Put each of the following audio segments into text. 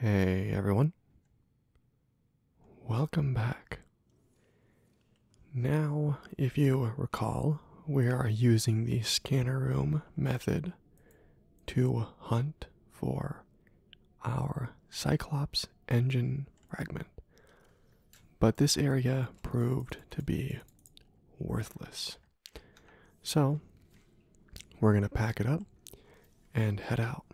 Hey everyone, welcome back. Now, if you recall, we are using the scanner room method to hunt for our Cyclops engine fragment, but this area proved to be worthless. So, we're going to pack it up and head out.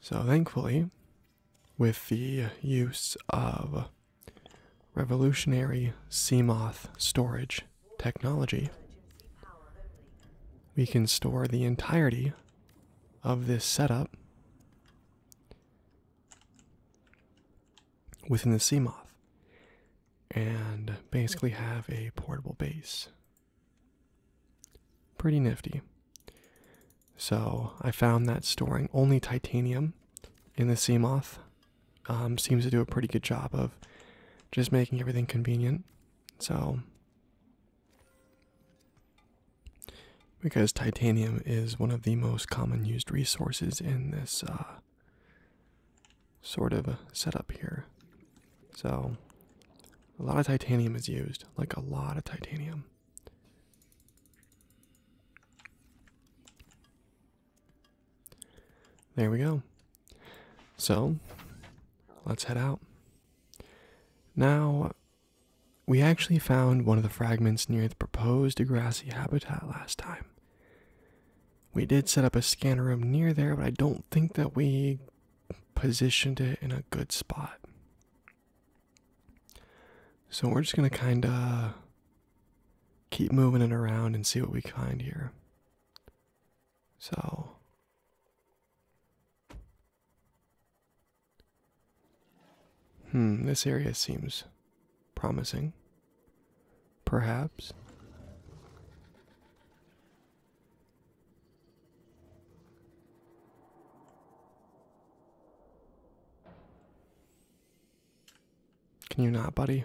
So, thankfully, with the use of revolutionary CMOS storage technology, we can store the entirety of this setup within the Seamoth and basically have a portable base. Pretty nifty. So I found that storing only titanium in the Seamoth um, seems to do a pretty good job of just making everything convenient. So because titanium is one of the most common used resources in this uh, sort of setup here. So, a lot of titanium is used, like a lot of titanium. There we go. So, let's head out. Now, we actually found one of the fragments near the proposed grassy habitat last time. We did set up a scanner room near there, but I don't think that we positioned it in a good spot. So we're just going to kind of keep moving it around and see what we find here. So Hmm, this area seems promising. Perhaps. Can you not, buddy?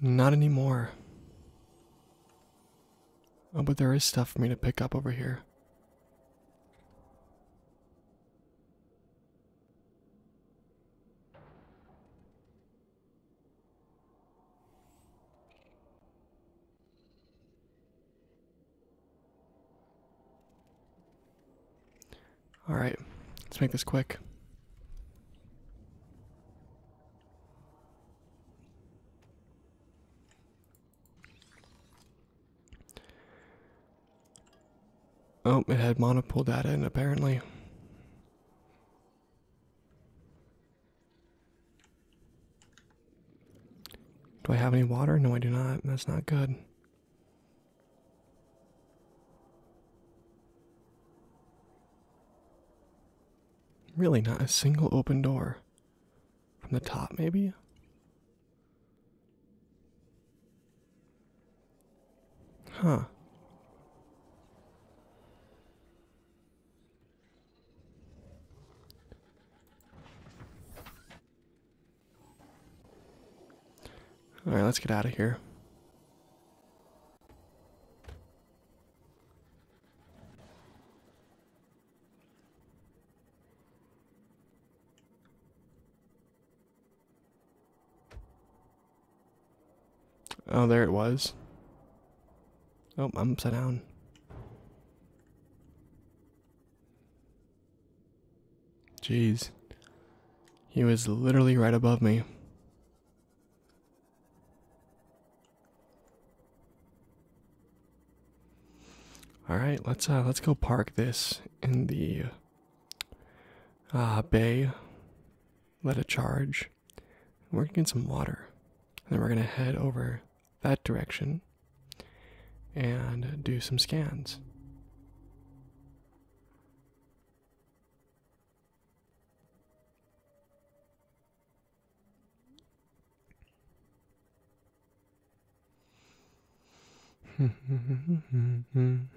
Not anymore. Oh, but there is stuff for me to pick up over here. All right, let's make this quick. Oh, it had monopole data in apparently. Do I have any water? No, I do not. That's not good. Really, not a single open door. From the top, maybe? Huh. All right, let's get out of here. Oh, there it was. Oh, I'm upside down. Jeez. He was literally right above me. All right, let's uh let's go park this in the uh bay. Let it charge. We're gonna get some water. And then we're gonna head over that direction and do some scans. On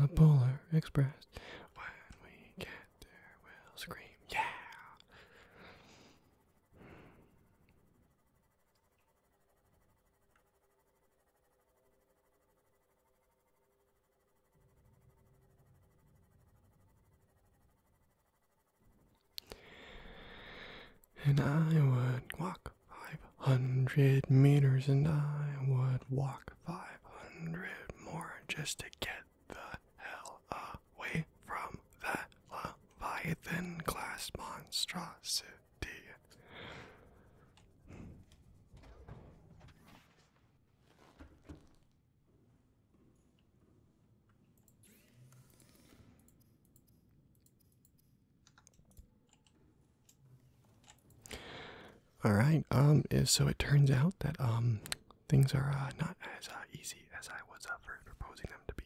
the Polar Express, when we get there, we'll scream, yeah! And I would walk 500 meters, and I would walk 500 more just to get the hell away from that Leviathan class monstrosity. All right. Um. So it turns out that um, things are uh, not as uh, easy as I was uh, proposing them to be.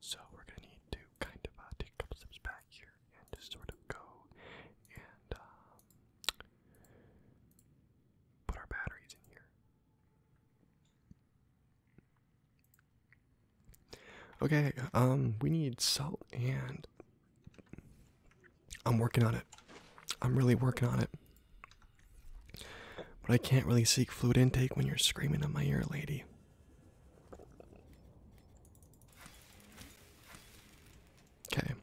So we're gonna need to kind of uh, take a couple steps back here and just sort of go and um, put our batteries in here. Okay, um, we need salt and I'm working on it. I'm really working on it. But I can't really seek fluid intake when you're screaming in my ear, lady. Okay.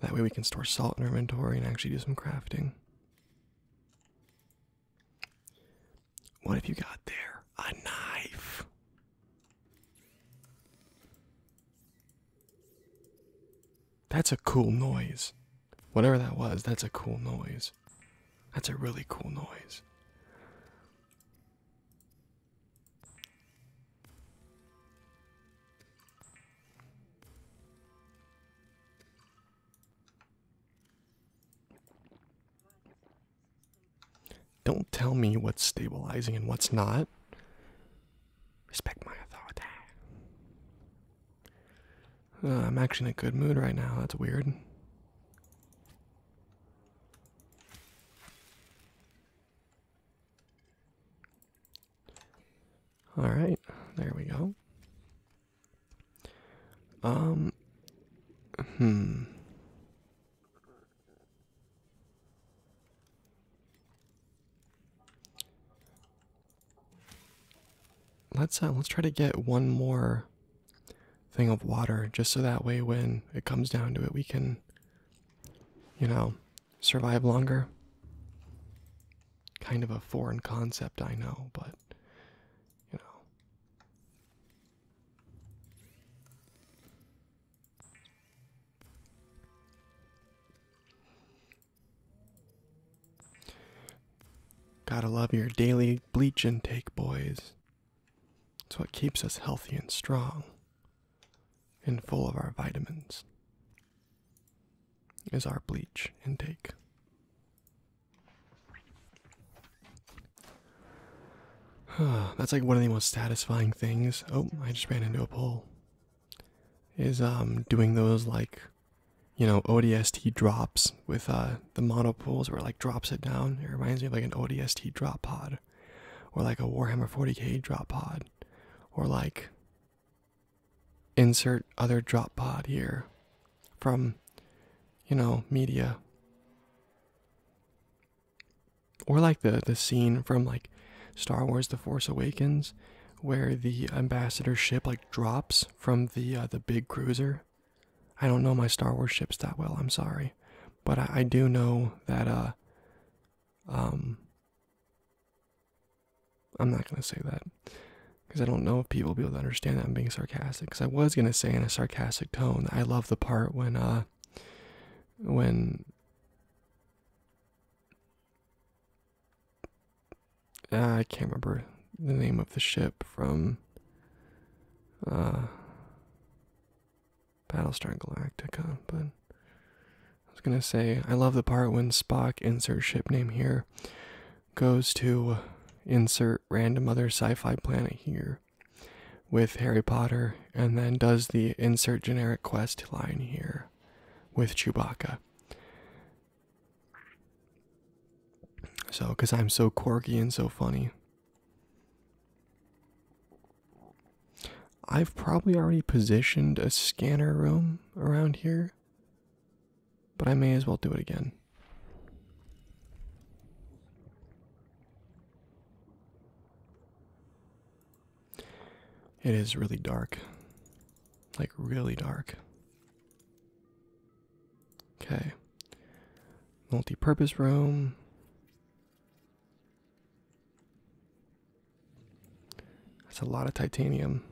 That way we can store salt in our inventory and actually do some crafting. What have you got there? A knife. That's a cool noise. Whatever that was, that's a cool noise. That's a really cool noise. Don't tell me what's stabilizing and what's not. Respect my authority. Uh, I'm actually in a good mood right now. That's weird. All right, there we go. Um, hmm. Let's uh, let's try to get one more thing of water, just so that way when it comes down to it, we can, you know, survive longer. Kind of a foreign concept, I know, but you know. Gotta love your daily bleach intake, boys. It's what keeps us healthy and strong and full of our vitamins is our bleach intake. That's like one of the most satisfying things. Oh, I just ran into a pole. Is um doing those like you know ODST drops with uh the monopoles where it, like drops it down. It reminds me of like an ODST drop pod or like a Warhammer 40k drop pod or like insert other drop pod here from you know media or like the the scene from like Star Wars The Force Awakens where the ambassador ship like drops from the uh, the big cruiser I don't know my Star Wars ships that well I'm sorry but I, I do know that uh um I'm not going to say that because I don't know if people will be able to understand that I'm being sarcastic. Because I was going to say in a sarcastic tone, I love the part when, uh, when, ah, I can't remember the name of the ship from, uh, Battlestar Galactica, but I was gonna say, I love the part when Spock, insert ship name here, goes to insert random other sci fi planet here with Harry Potter and then does the insert generic quest line here with Chewbacca. So, because I'm so quirky and so funny. I've probably already positioned a scanner room around here but I may as well do it again. It is really dark. Like, really dark. Okay. Multi purpose room. That's a lot of titanium.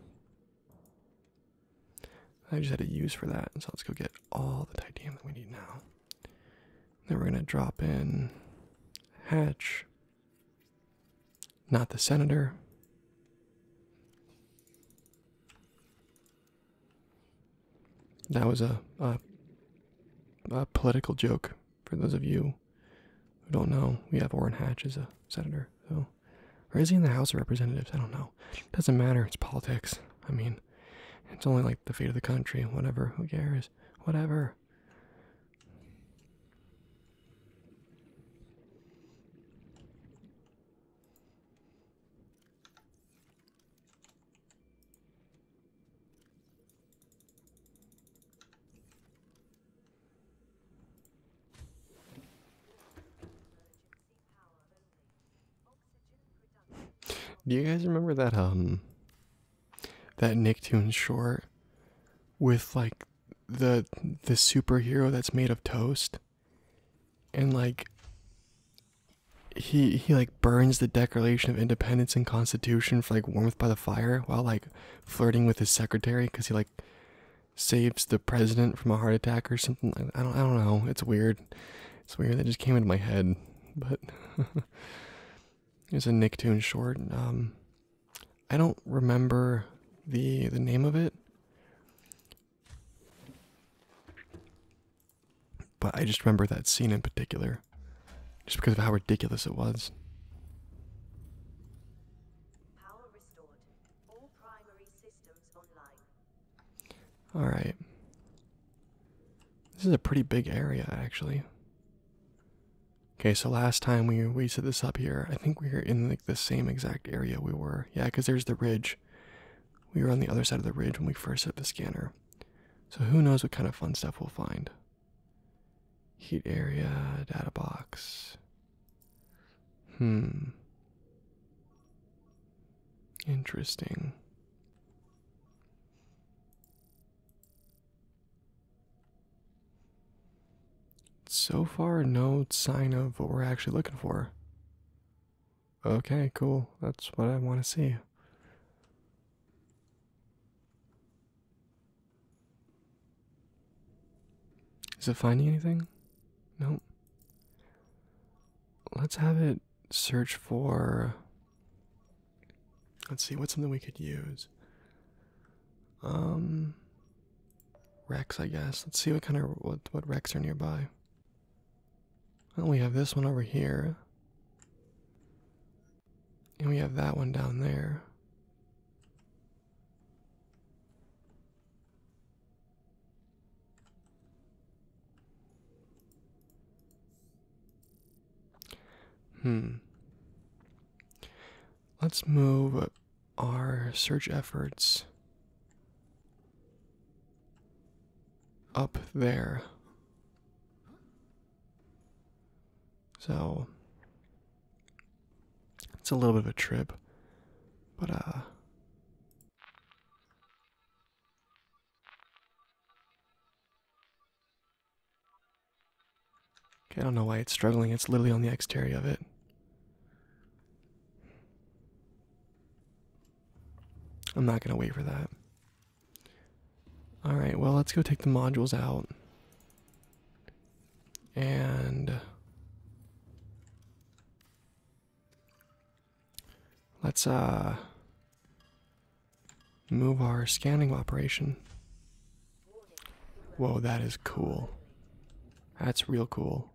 I just had a use for that, so let's go get all the titanium that we need now. Then we're gonna drop in Hatch, not the Senator. That was a, a, a political joke for those of you we don't know, we have Orrin Hatch as a senator. So, or is he in the House of Representatives? I don't know. It doesn't matter. It's politics. I mean, it's only like the fate of the country. Whatever. Who cares? Whatever. Do you guys remember that um that Nicktoons short with like the the superhero that's made of toast and like he he like burns the Declaration of Independence and Constitution for like warmth by the fire while like flirting with his secretary because he like saves the president from a heart attack or something. I don't, I don't know. It's weird. It's weird. That just came into my head. But it's a Nicktoon short. Um, I don't remember the the name of it. But I just remember that scene in particular, just because of how ridiculous it was. All right. This is a pretty big area actually. Okay, so last time we we set this up here, I think we were in like the same exact area we were. Yeah, because there's the ridge. We were on the other side of the ridge when we first set the scanner. So who knows what kind of fun stuff we'll find. Heat area, data box. Hmm. Interesting. So far, no sign of what we're actually looking for. Okay, cool. That's what I want to see. Is it finding anything? Nope. Let's have it search for. Let's see, what's something we could use? Um. Wrecks, I guess. Let's see what kind of what what wrecks are nearby. Well, we have this one over here, and we have that one down there. Hmm. Let's move our search efforts up there. So it's a little bit of a trip, but uh. Okay, I don't know why it's struggling. It's literally on the exterior of it. I'm not going to wait for that. Alright, well, let's go take the modules out. And let's uh move our scanning operation. Whoa, that is cool. That's real cool.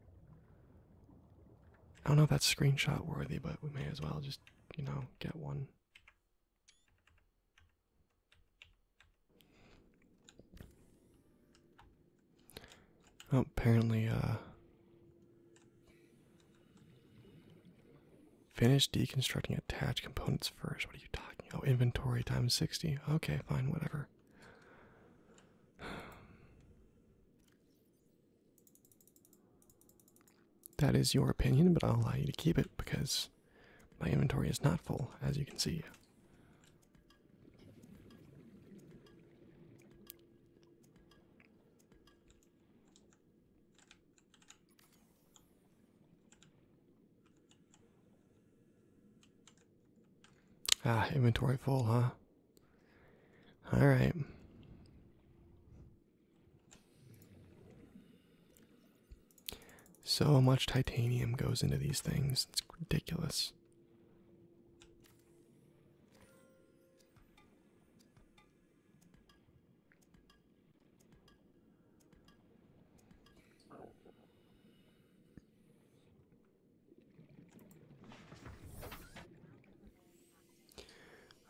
I don't know if that's screenshot worthy, but we may as well just, you know, get one. Oh, apparently, uh, finish deconstructing attached components first. What are you talking? Oh, inventory times sixty. Okay, fine, whatever. That is your opinion, but I'll allow you to keep it because my inventory is not full, as you can see. Ah, inventory full, huh? All right. So much titanium goes into these things. It's ridiculous.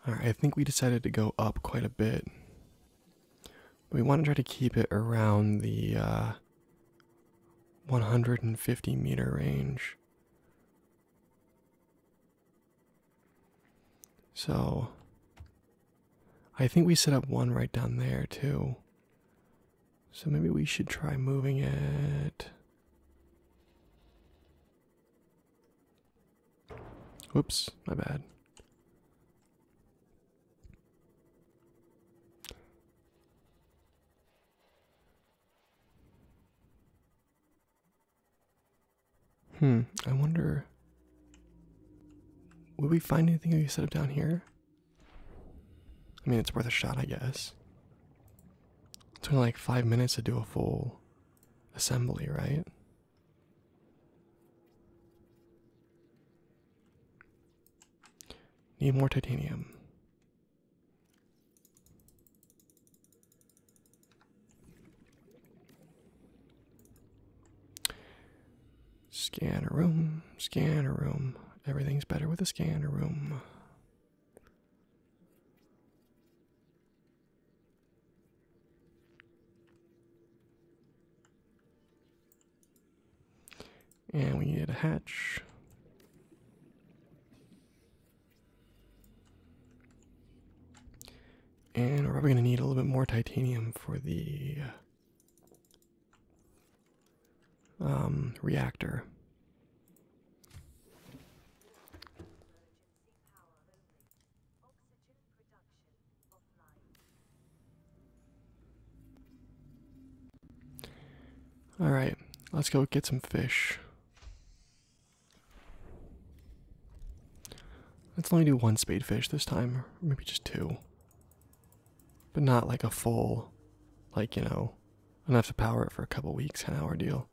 Alright, I think we decided to go up quite a bit. We want to try to keep it around the uh, 150 meter range. So, I think we set up one right down there too. So, maybe we should try moving it. Oops, my bad. Hmm, I wonder. Would we find anything we set up down here? I mean, it's worth a shot, I guess. It's only like five minutes to do a full assembly, right? Need more titanium. Scanner room, scanner room. Everything's better with a scanner room. And we need a hatch. And we're probably going to need a little bit more titanium for the um, reactor. All right, let's go get some fish. Let's only do one spade fish this time, maybe just two. But not like a full, like, you know, enough to power it for a couple weeks, an hour deal.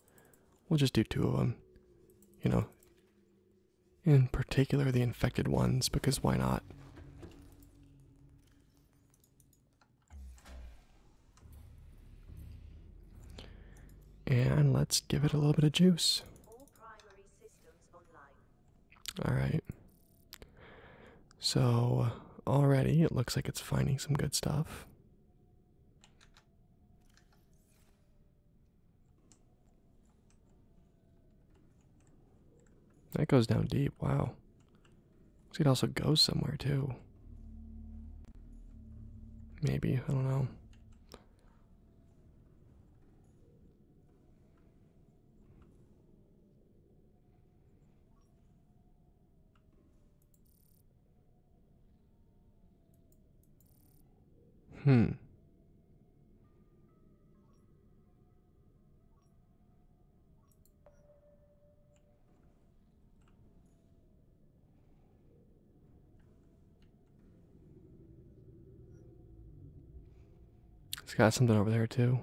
We'll just do two of them, you know. In particular, the infected ones, because why not? And let's give it a little bit of juice. All right. So already it looks like it's finding some good stuff. That goes down deep. Wow. So it also goes somewhere too. Maybe. I don't know. Hmm. It's got something over there too.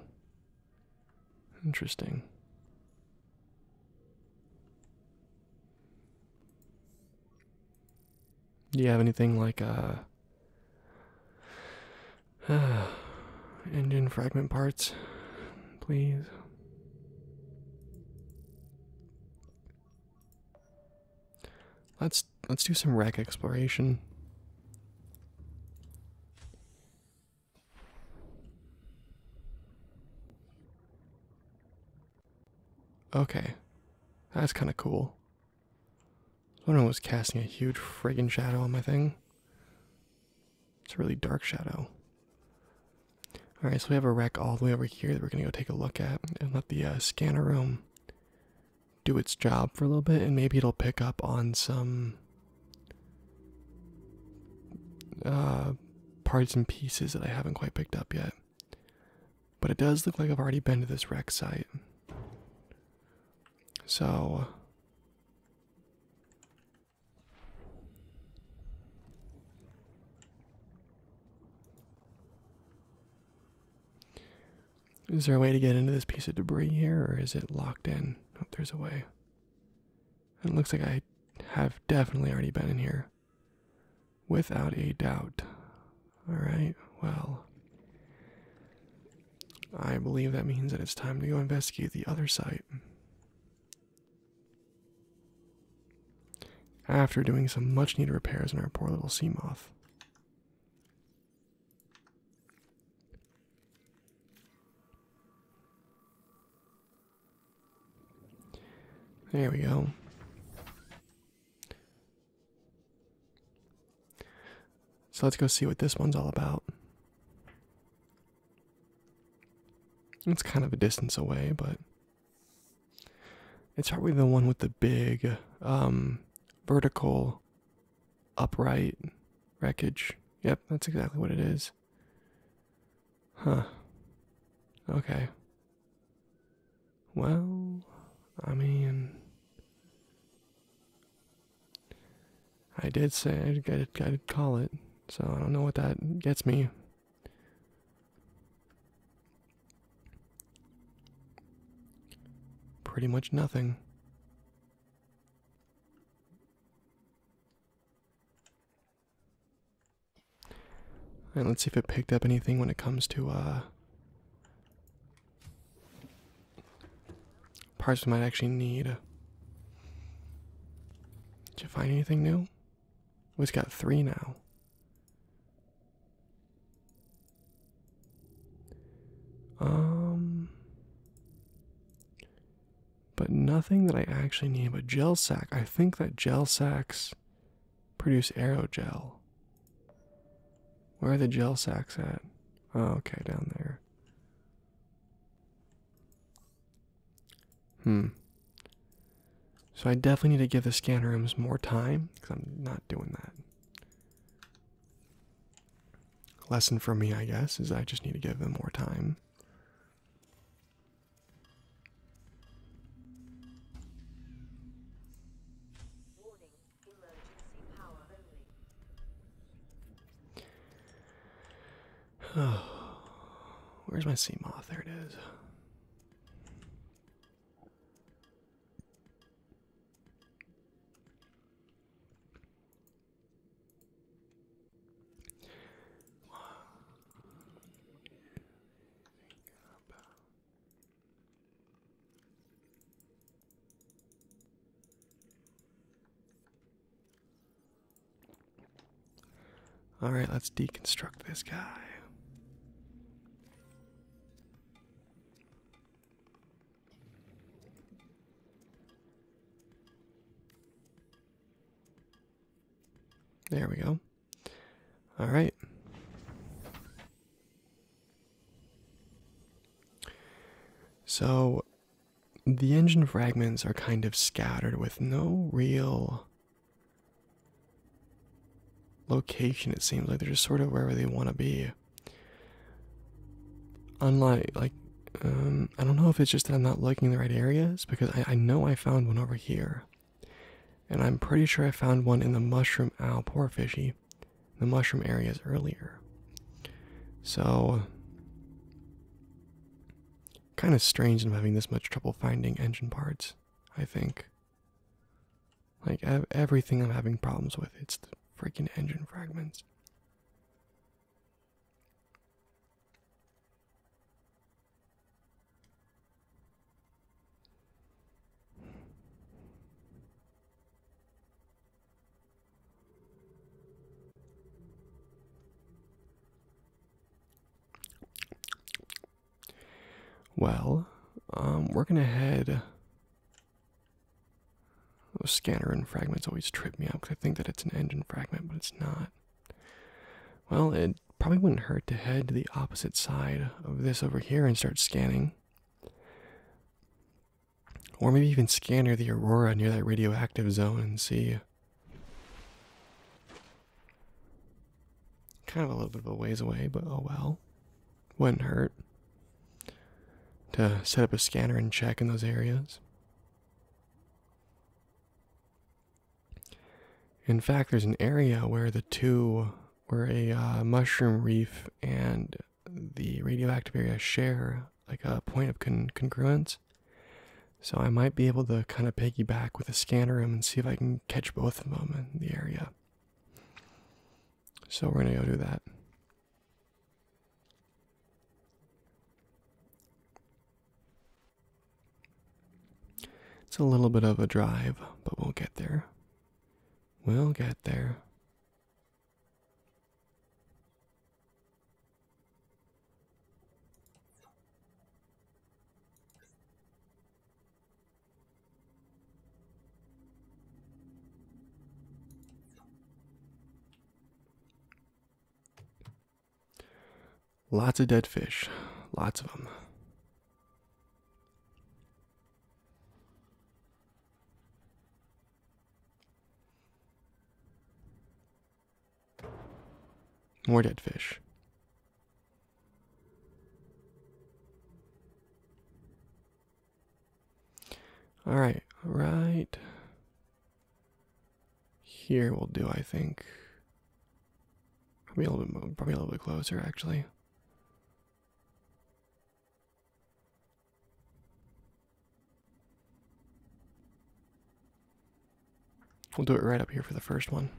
Interesting. Do you have anything like a? Uh, Engine fragment parts, please. Let's let's do some wreck exploration. Okay, that's kind of cool. Someone was casting a huge friggin' shadow on my thing. It's a really dark shadow. Alright, so we have a rack all the way over here that we're gonna go take a look at and let the uh, scanner room do its job for a little bit and maybe it'll pick up on some uh, parts and pieces that I haven't quite picked up yet. But it does look like I've already been to this wreck site. So is there a way to get into this piece of debris here, or is it locked in? Oh, there's a way. It looks like I have definitely already been in here. Without a doubt. Alright, well. I believe that means that it's time to go investigate the other site. After doing some much needed repairs on our poor little sea moth. There we go. So let's go see what this one's all about. It's kind of a distance away, but it's probably the one with the big um, vertical upright wreckage. Yep, that's exactly what it is. Huh. Okay. Well, I mean, I did say I did, I did call it, so I don't know what that gets me. Pretty much nothing. let's see if it picked up anything when it comes to uh, parts we might actually need. Did you find anything new? We have got three now. Um, but nothing that I actually need. But gel sack. I think that gel sacks produce aerogel. Where are the gel sacks at? Oh, okay, down there. Hmm. So I definitely need to give the scanner rooms more time because I'm not doing that. Lesson for me, I guess, is I just need to give them more time. Where's my sea moth? There it is. All right, let's deconstruct this guy. There we go. All right. So the engine fragments are kind of scattered with no real location, it seems like they're just sort of wherever they want to be. Unlike, like, um, I don't know if it's just that I'm not looking in the right areas because I, know I found one over here. And I'm pretty sure I found one in the mushroom, ow, poor fishy, the mushroom areas earlier. So, Kind of strange I'm having this much trouble finding engine parts, I think. Like, everything I'm having problems with, it's the freaking engine fragments. Well, um, we're gonna head. Those scanner and fragments always trip me up because I think that it's an engine fragment, but it's not. Well, it probably wouldn't hurt to head to the opposite side of this over here and start scanning. Or maybe even scanner the aurora near that radioactive zone and see. Kind of a little bit of a ways away, but oh well. Wouldn't hurt to set up a scanner and check in those areas. In fact, there's an area where the two, where a uh, mushroom reef and the radioactive area share like a point of congruence. So I might be able to kind of piggyback with a scanner and see if I can catch both of them in the area. So we're gonna go do that. It's a little bit of a drive, but we'll get there. We'll get there. Lots of dead fish, lots of them. More dead fish. All right, right here will do, I think. Probably a little bit, probably a little bit closer, actually. We'll do it right up here for the first one.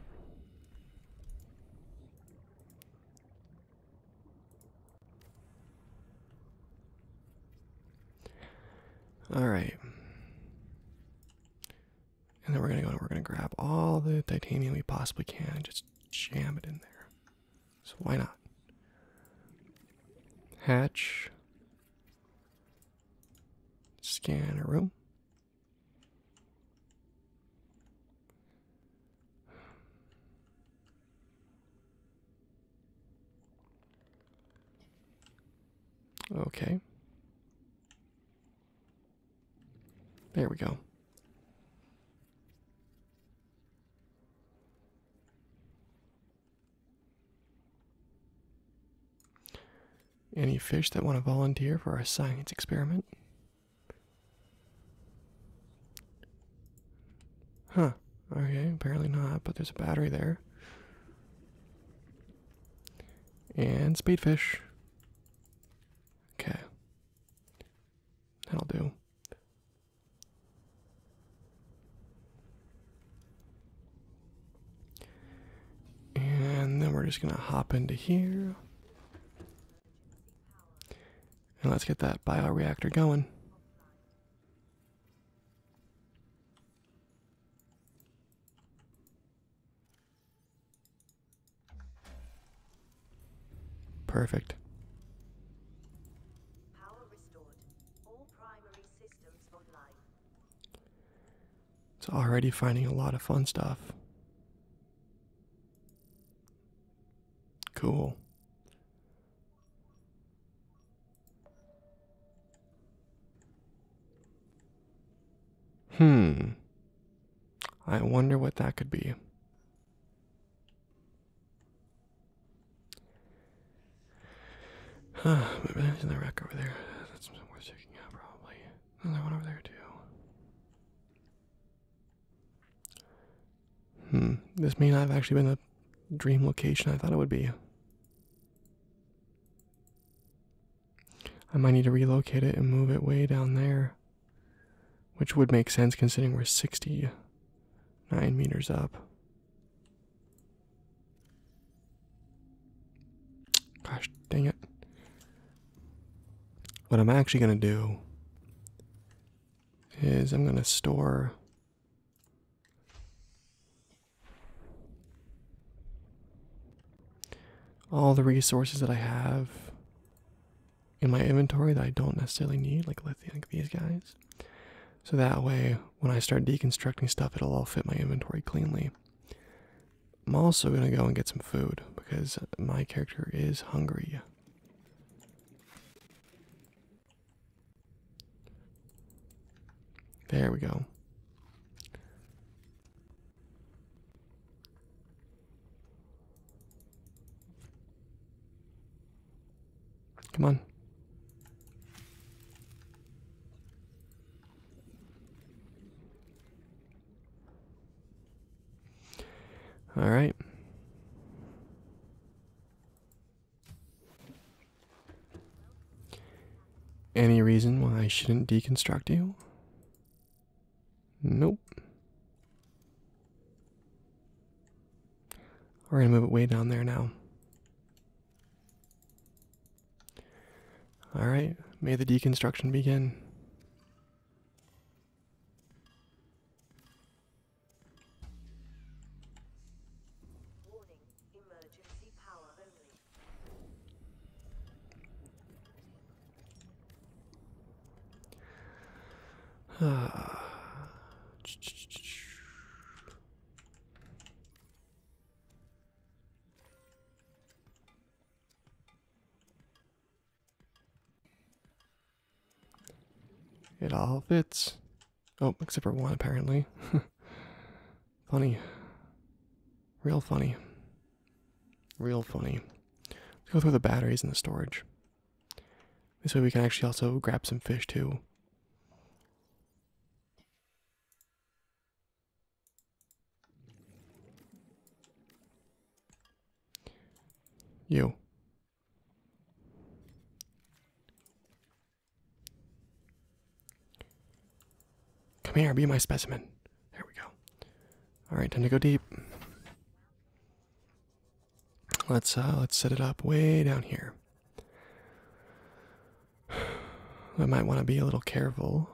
All right. And then we're going to go and we're going to grab all the titanium we possibly can and just jam it in there. So why not? Hatch. Scanner room. Okay. There we go. Any fish that want to volunteer for our science experiment? Huh, okay, apparently not, but there's a battery there. And spade fish. Okay. That'll do. And then we're just going to hop into here. And let's get that bioreactor going. Perfect. Power restored. All primary systems online. It's already finding a lot of fun stuff. Cool. Hmm. I wonder what that could be. Uh, my band's in the over there. That's something worth checking out, probably. Another one over there, too. Hmm, this may not have actually been the dream location I thought it would be. I might need to relocate it and move it way down there. Which would make sense considering we're 69 meters up. Gosh dang it. What I'm actually going to do is I'm going to store. All the resources that I have in my inventory that I don't necessarily need, like lithium, like these guys, so that way, when I start deconstructing stuff, it'll all fit my inventory cleanly. I'm also going to go and get some food because my character is hungry. There we go. Come on. All right. Any reason why I shouldn't deconstruct you? Nope. We're going to move it way down there now. All right, may the deconstruction begin. Warning, It all fits. Oh, except for one, apparently. funny. Real funny. Real funny. Let's go through the batteries in the storage. This way we can actually also grab some fish too. You. Come here, be my specimen. There we go. Alright, time to go deep. Let's uh let's set it up way down here. I might want to be a little careful.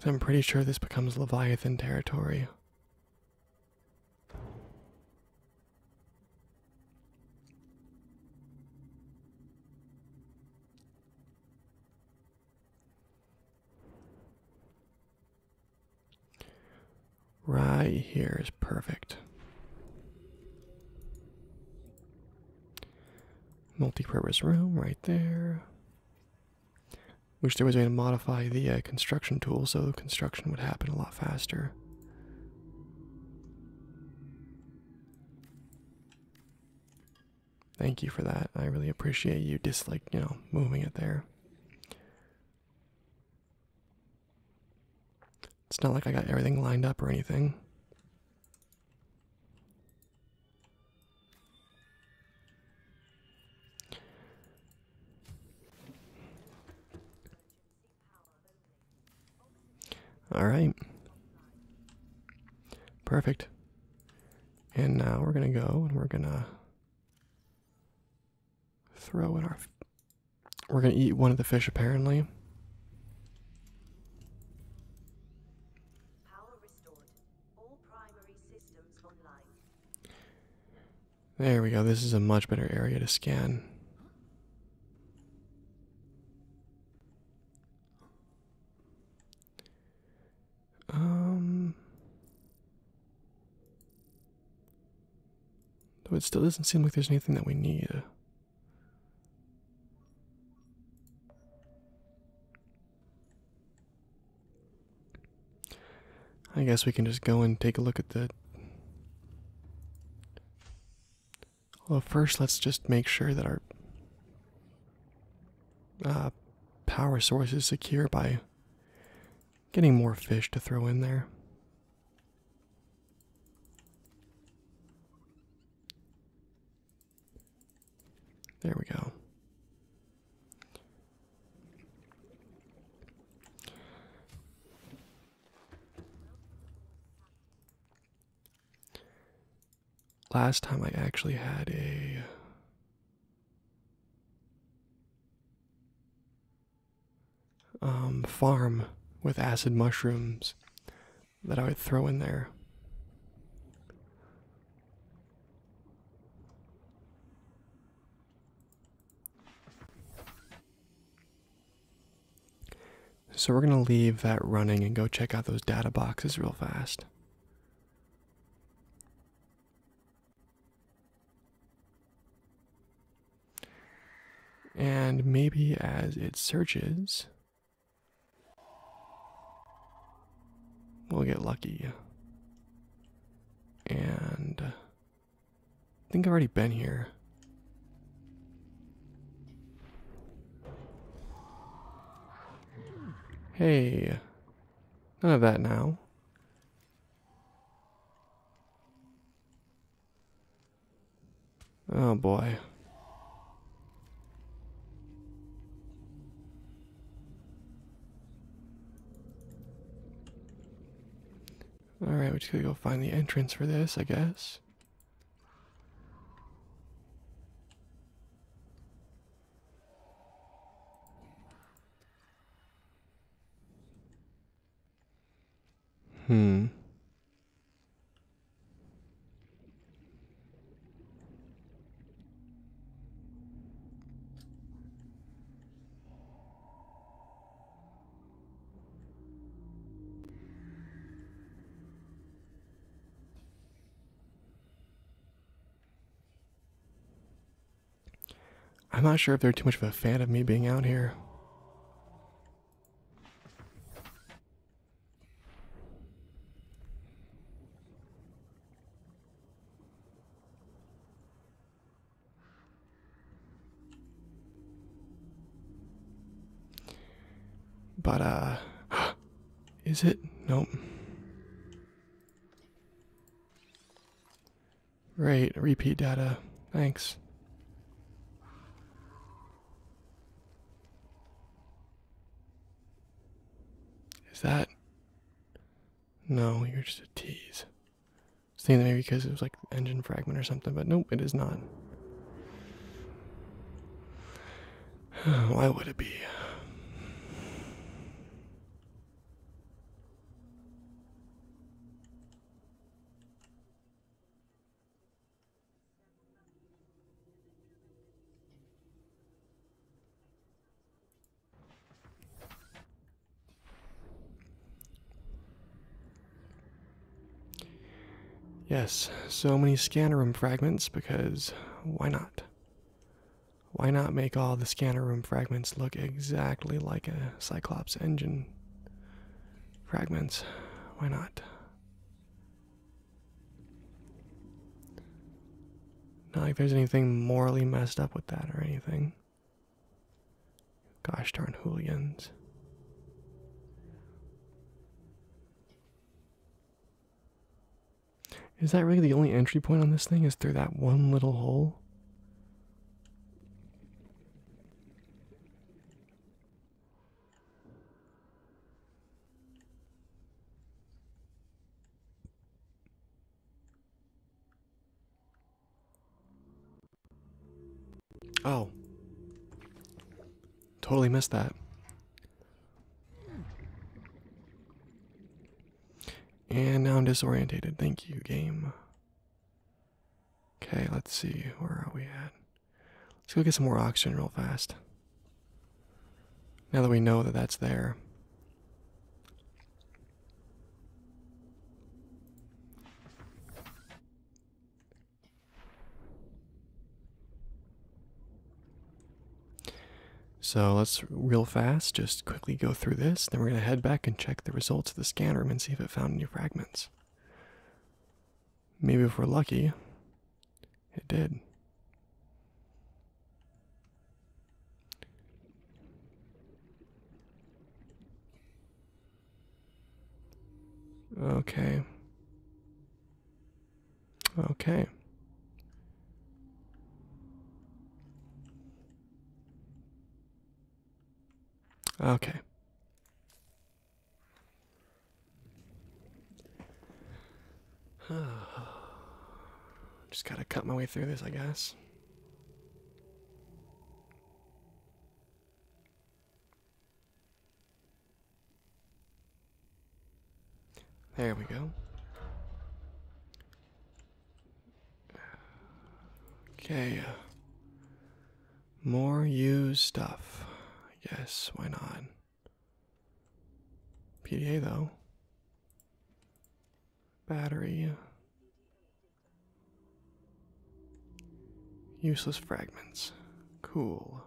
Cause I'm pretty sure this becomes Leviathan territory. Right here is perfect. Multi-purpose room right there. Wish there was a way to modify the uh, construction tool so construction would happen a lot faster. Thank you for that. I really appreciate you dislike, you know, moving it there. It's not like I got everything lined up or anything. All right. Perfect. And now we're going to go and we're going to throw in our. We're going to eat one of the fish apparently. There we go. This is a much better area to scan. Um, though it still doesn't seem like there's anything that we need. I guess we can just go and take a look at the. Well, first, let's just make sure that our uh, power source is secure by getting more fish to throw in there. There we go. Last time I actually had a um, farm with acid mushrooms that I would throw in there. So we're going to leave that running and go check out those data boxes real fast. And maybe as it searches, We'll get lucky. And I think I've already been here. Hey, none of that now. Oh boy. Alright, we just gotta go find the entrance for this, I guess. Hmm. I'm not sure if they're too much of a fan of me being out here. But, uh, is it? Nope. Great, repeat data. Thanks. Is that? No, you're just a tease. Saying that maybe because it was like engine fragment or something, but nope, it is not. Why would it be? Yes, so many scanner room fragments because why not? Why not make all the scanner room fragments look exactly like a Cyclops engine fragments? Why not? Not like there's anything morally messed up with that or anything. Gosh darn hooligans. Is that really the only entry point on this thing? Is through that one little hole? Oh. Totally missed that. And now I'm disoriented. Thank you, game. Okay, let's see. Where are we at? Let's go get some more oxygen real fast. Now that we know that that's there. So let's real fast just quickly go through this. Then we're going to head back and check the results of the scanner and see if it found any fragments. Maybe if we're lucky, it did. Okay. Okay. Okay. Just gotta cut my way through this, I guess. There we go. Okay. Uh, more used stuff. I guess, why not? PDA though. Battery. Useless fragments. Cool.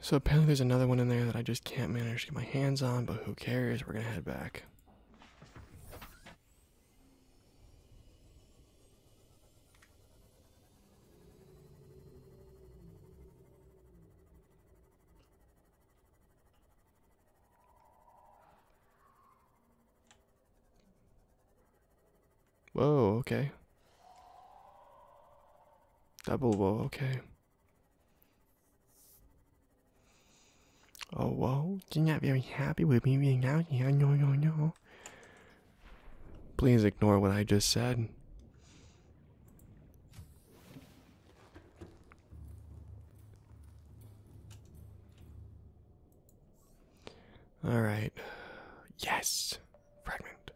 So apparently there's another one in there that I just can't manage to get my hands on, but who cares? We're gonna head back. Whoa, okay. Double whoa, okay. Oh, whoa, you're not very happy with me being out here, no, no, no. Please ignore what I just said. All right. Yes. Fragment.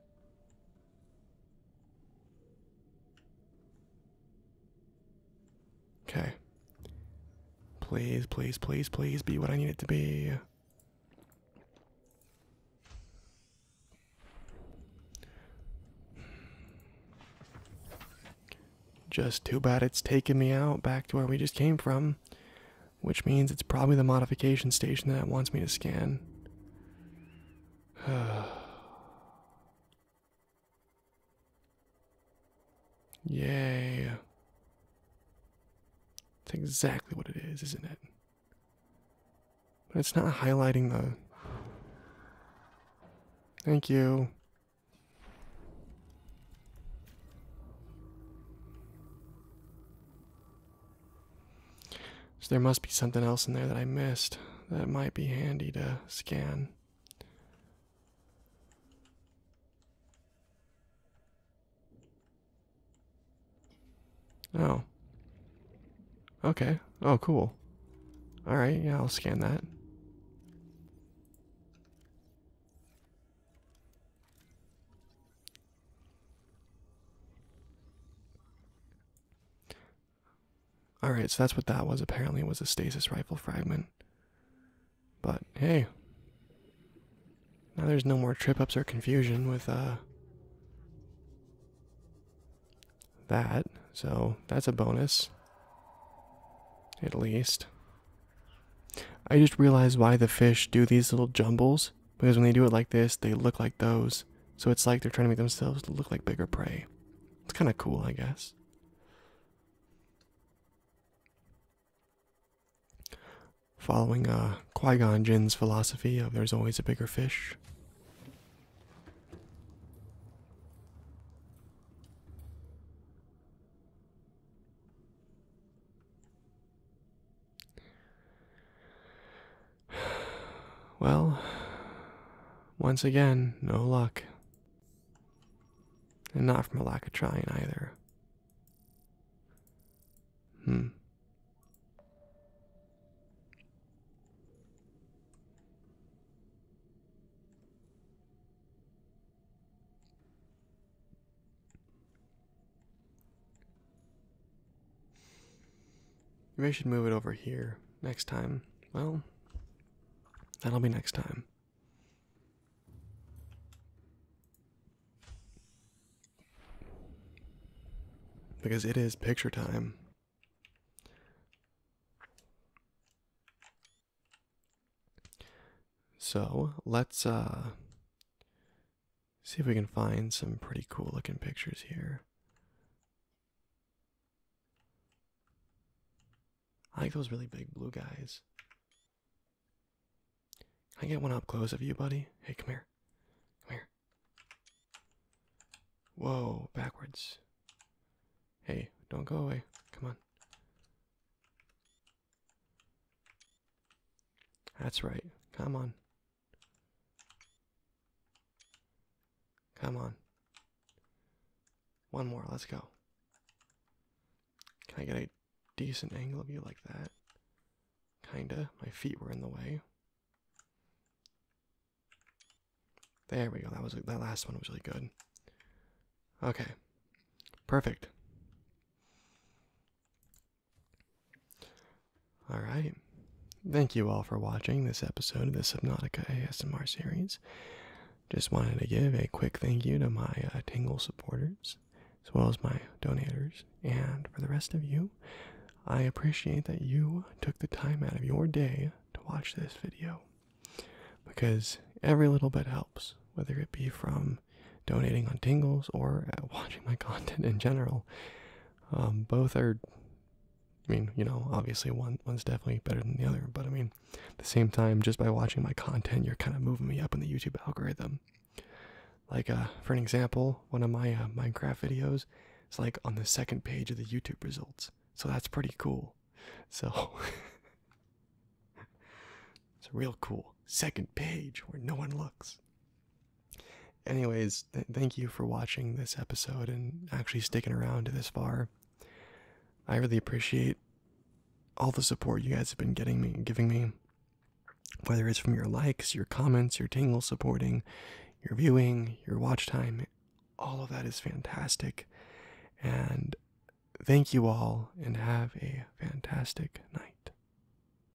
Okay. Please, please, please, please be what I need it to be. Just too bad it's taking me out back to where we just came from which means it's probably the modification station that wants me to scan. Yeah, That's exactly what it is, isn't it? But it's not highlighting the. Thank you. So there must be something else in there that I missed that might be handy to scan. Oh. Okay. Oh, cool. Alright, yeah, I'll scan that. All right, so that's what that was. Apparently, it was a stasis rifle fragment. But hey, now there's no more trip ups or confusion with uh that. So that's a bonus. At least. I just realized why the fish do these little jumbles. Because when they do it like this, they look like those. So it's like they're trying to make themselves look like bigger prey. It's kind of cool, I guess. Following uh, Qui Gon Jinn's philosophy of there's always a bigger fish. Well, once again, no luck. And not from a lack of trying either. Hmm. Maybe I should move it over here next time. Well, that'll be next time. Because it is picture time. So let's uh See if we can find some pretty cool looking pictures here. I like those really big blue guys. Can I get one up close of you, buddy? Hey, come here. Come here. Whoa, backwards. Hey, don't go away. Come on. That's right. Come on. Come on. One more, let's go. Can I get a decent angle of you like that? Kinda. My feet were in the way. There we go. That was that last one was really good. Okay. Perfect. Alright. Thank you all for watching this episode of the Subnautica ASMR series. Just wanted to give a quick thank you to my uh, Tingle supporters, as well as my donators, and for the rest of you, I appreciate that you took the time out of your day to watch this video. Because every little bit helps, whether it be from donating on Tingles or uh, watching my content in general. Um, both are, I mean, you know, obviously one one's definitely better than the other, but I mean, at the same time, just by watching my content, you're kind of moving me up in the YouTube algorithm. Like, uh, for an example, one of my uh, Minecraft videos is like on the second page of the YouTube results, so that's pretty cool. So. It's a real cool. Second page where no one looks. Anyways, thank you for watching this episode and actually sticking around to this far. I really appreciate all the support you guys have been getting me giving me. Whether it's from your likes, your comments, your tingle supporting, your viewing, your watch time, all of that is fantastic. And thank you all and have a fantastic night.